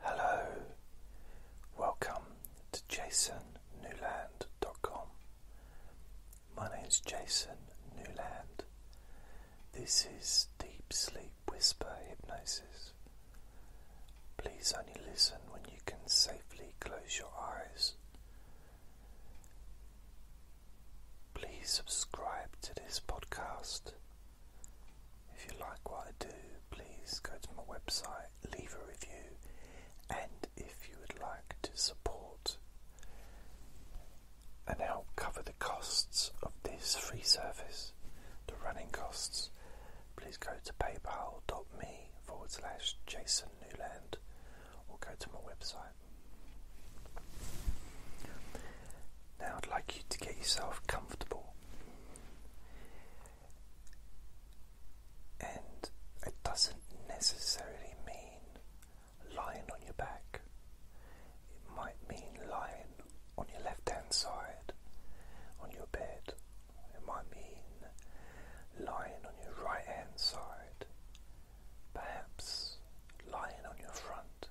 Hello, welcome to jasonnewland.com. My name is Jason Newland. This is Deep Sleep Whisper Hypnosis. Please only listen when you can safely close your eyes. Please subscribe to this podcast if you like what I do, please go to my website, leave a review, and if you would like to support and help cover the costs of this free service, the running costs, please go to paypal.me forward slash Jason Newland or go to my website. Now I'd like you to get yourself comfortable. And it doesn't necessarily mean lying on your back, it might mean lying on your left hand side on your bed, it might mean lying on your right hand side, perhaps lying on your front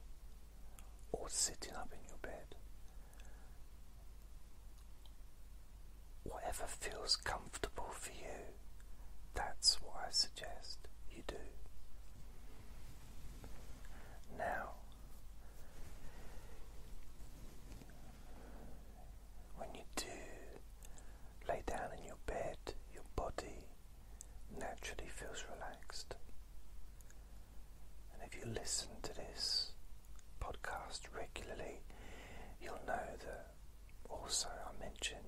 or sitting up in your bed. Whatever feels comfortable for you, that's what I suggest you do. Now, when you do lay down in your bed, your body naturally feels relaxed. And if you listen to this podcast regularly, you'll know that also I mentioned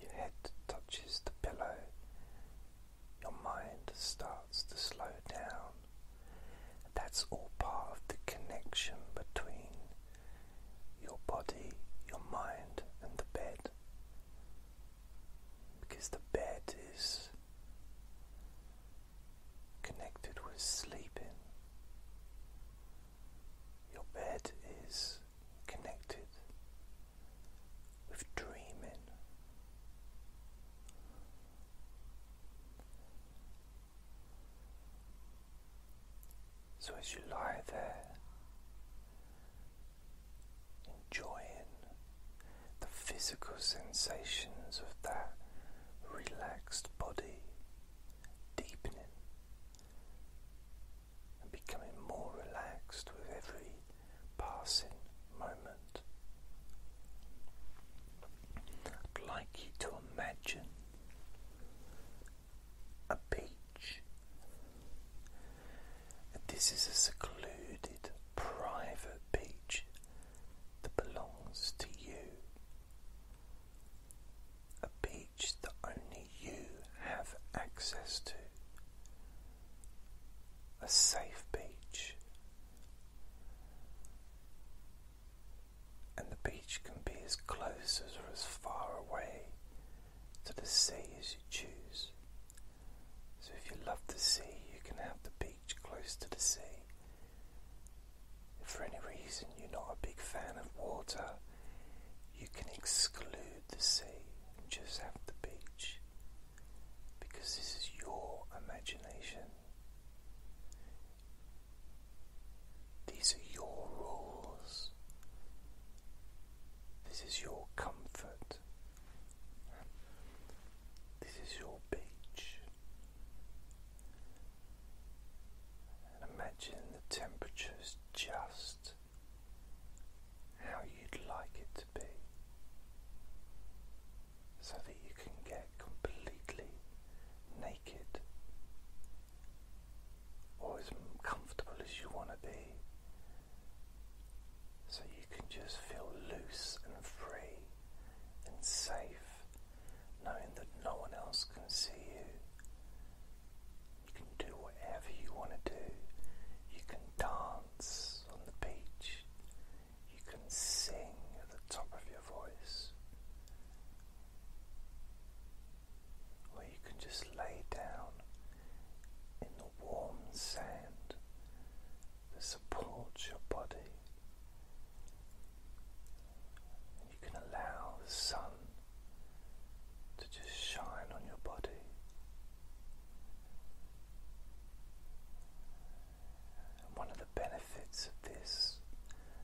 your head touches the pillow, your mind starts to slow down. That's all part of the connection between your body, your mind, and the bed. Because the bed is connected with sleeping. Your bed is connected with dreaming. So as you lie there, enjoying the physical sensations of that relaxed body deepening and becoming more relaxed with every passing moment. I'd like you to imagine a beach. this is a secluded, private beach that belongs to you, a beach that only you have access to, a safe beach. And the beach can be as close as or as far away to the sea as you choose. So if you love the sea, you can have the beach close to the sea. If for any reason you're not a big fan of water, you can exclude the sea and just have the beach because this is your imagination. These are your rules. This is your comfort this is your beach. imagine the temperature just how you'd like it to be, so that you can get completely naked or as comfortable as you want to be. So you can just feel loose and free and safe, knowing that no one else can see you. You can do whatever you want to do. You can dance on the beach. You can sing at the top of your voice. Or you can just lay down in the warm sand that supports your body. You can allow the sun to just shine on your body. And one of the benefits of this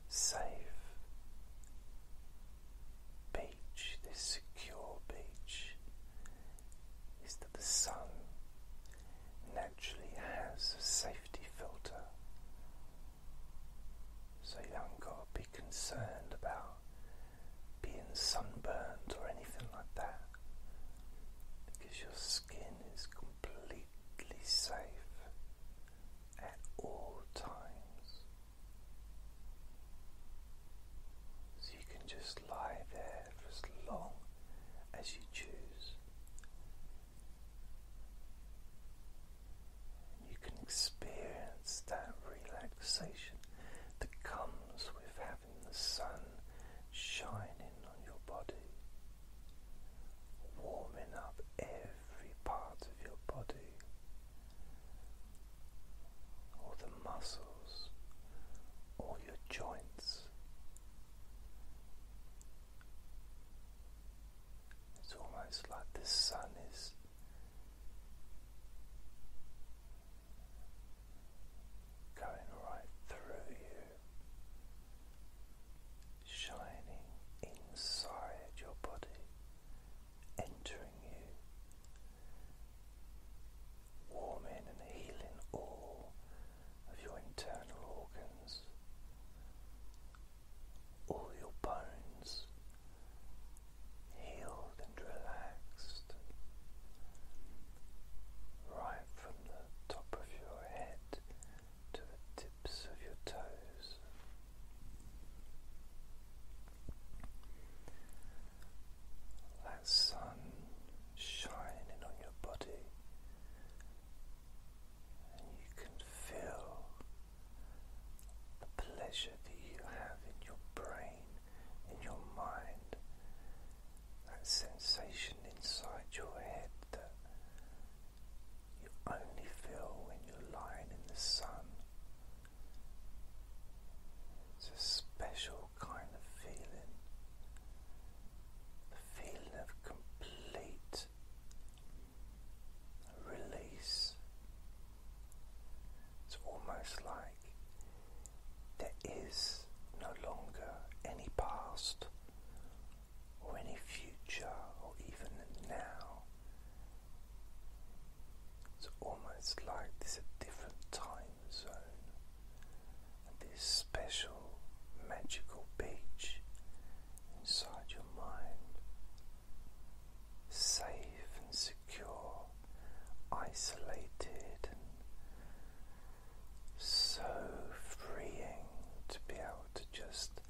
safe beach, this secure beach, is that the sun actually has a safety filter. So you haven't got to be concerned about being sunburned or anything like that because your skin is completely safe at all times. So you can just lie there as long as you choose. You can experience that relaxation that comes with having the sun shining on your body, warming up every part of your body, or the muscles, or your joints, it's almost like the sun is going right through you, shining inside your body, entering you, warming and healing all of your internal organs, all your bones healed and relaxed, right from the top of your head to the tips of your toes. That sun shining on your body you can feel the pleasure that you have in your brain, in your mind, that sensation inside your head that you only feel when you're lying in the sun. It's a special kind of feeling feeling of complete release. It's almost like there is no longer any past or any future or even now. It's almost like there's a different time zone this special magical beach inside your mind, safe and secure, isolated, so freeing to be able to just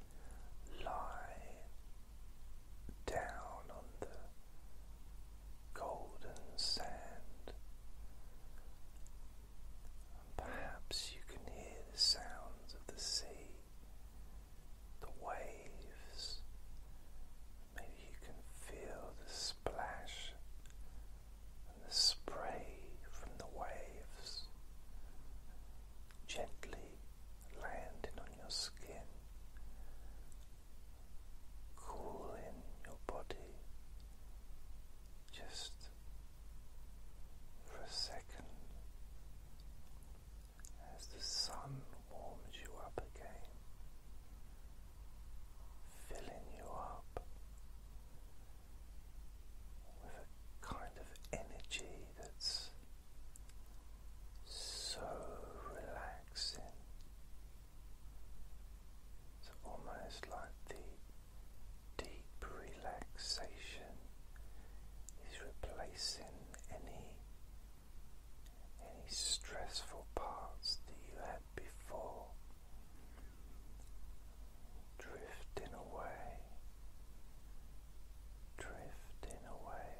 lie down on the golden sand. And perhaps you can hear the sounds of the sea, the waves. Maybe you can feel the splash and the spray from the waves gently landing on your skin, cooling your body. Just for a second as the sun warms you up again, filling you up with a kind of energy that's so relaxing. It's almost like the deep relaxation is replacing any any stressful parts that you had before drifting away drifting away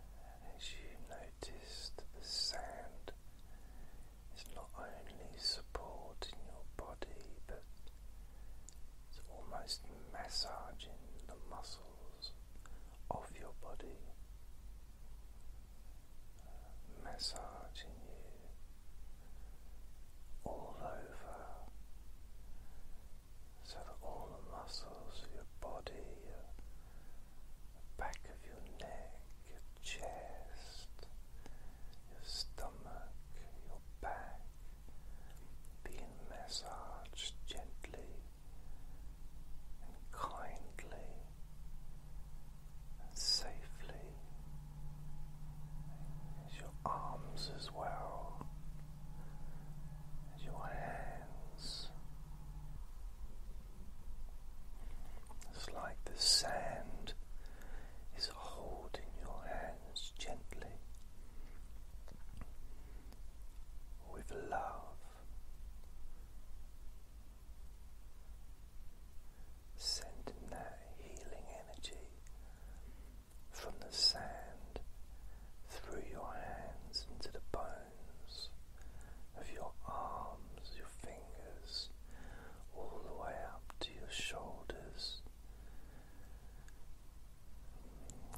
and as you notice the sound it's not only supporting your body, but it's almost massaging the muscles of your body, uh, massaging you all over so that all the muscles of your body, uh, the back of your neck, your chest, your stomach, your back being massaged gently and kindly and safely, your arms as well, as your hands. It's like the sand is holding your hands gently with love. Sending that healing energy from the sand through your hands into the bones of your arms, fingers all the way up to your shoulders.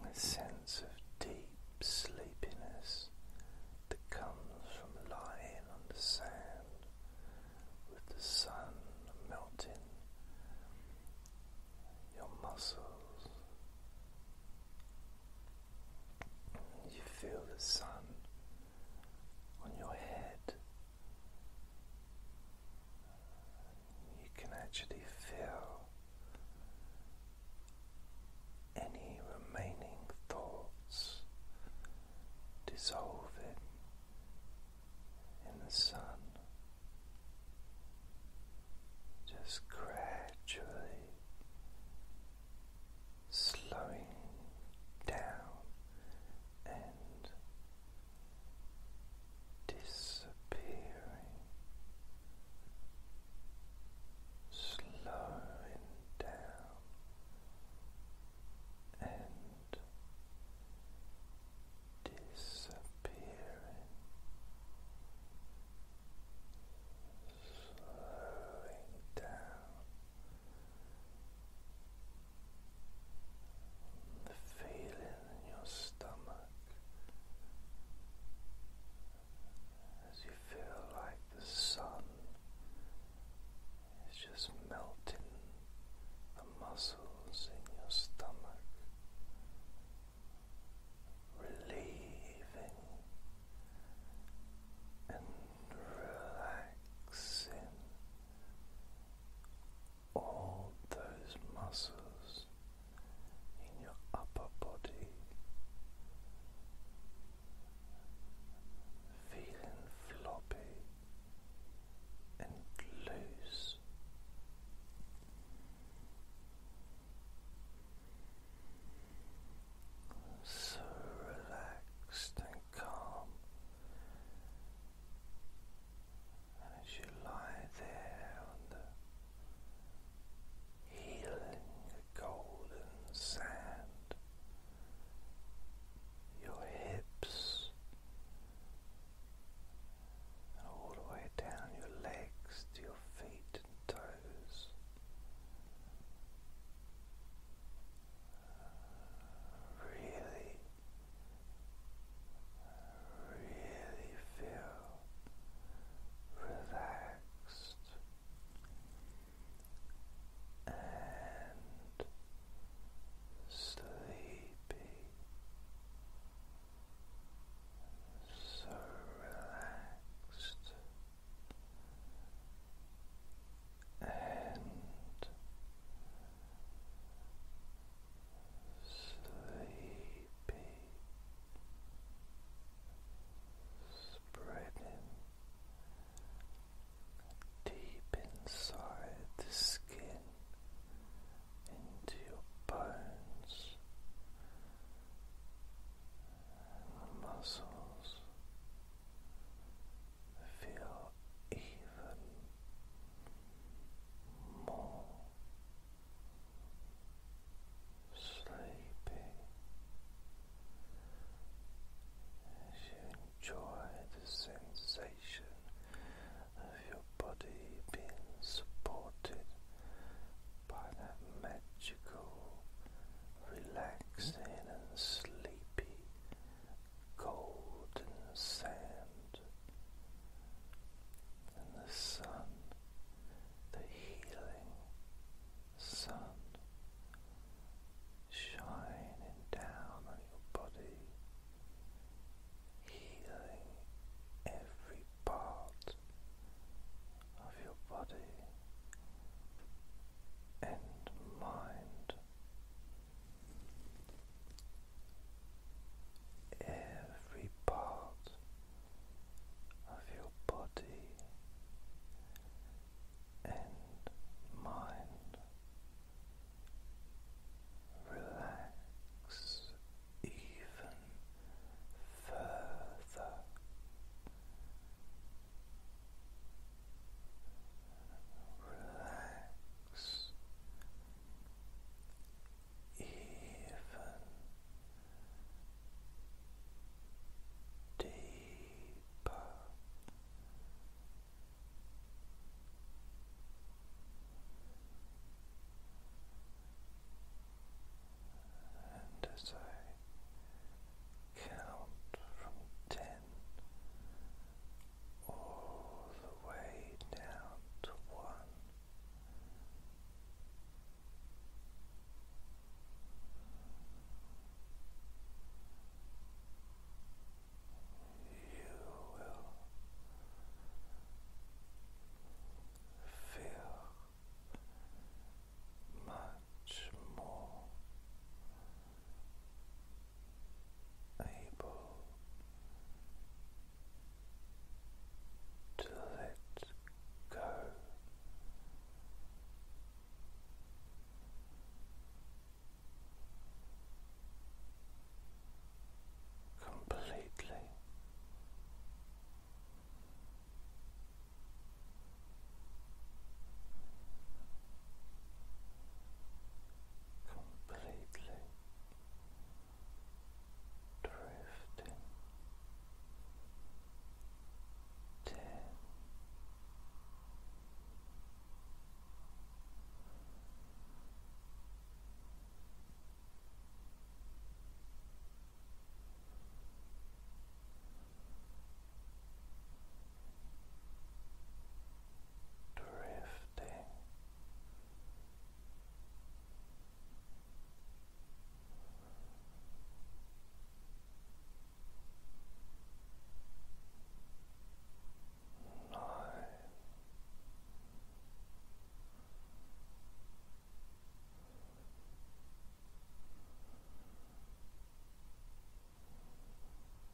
A sense of deep sleepiness that comes from lying on the sand with the sun melting your muscles. You feel the sun on your head. You can actually feel any remaining thoughts dissolving in the sun, just gradually slowing down and disappearing, slowing down and disappearing, slowing down the feeling in your stomach as you feel like the sun is just melting the muscles in your stomach, relieving and relaxing all those muscles in your upper body feeling floppy and loose. So relaxed and calm and as you lie there on the healing golden sand, your hips and all the way down your legs to your feet and toes really, really feel relaxed and sleepy. So relaxed and sleepy, spreading deep inside the skin into your bones muscles feel even more sleepy as you enjoy the sensation of your body being supported by that magical relaxing and sleepy golden sand and the sun, the healing sun shining down on your body, healing every part of your body and mind every part of your body and mind relax even further relax even deeper. And as I count from ten, all the way down to one. You will feel much more able to let go. Completely completely drifting ten nine drifting nine drifting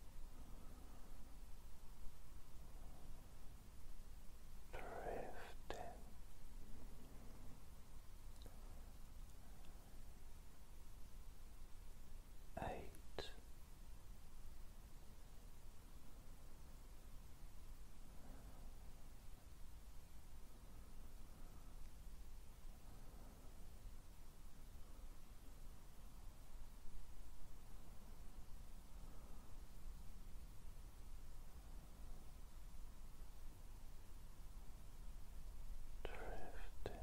eight Drifting. Seven.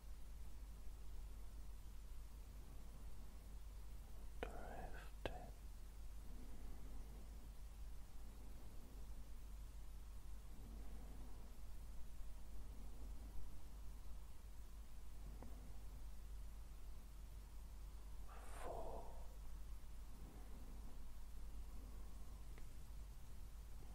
drifting. Four,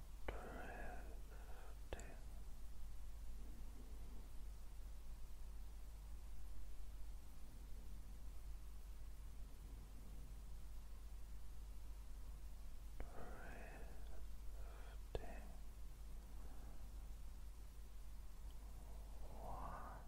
drifting. Drifting. One.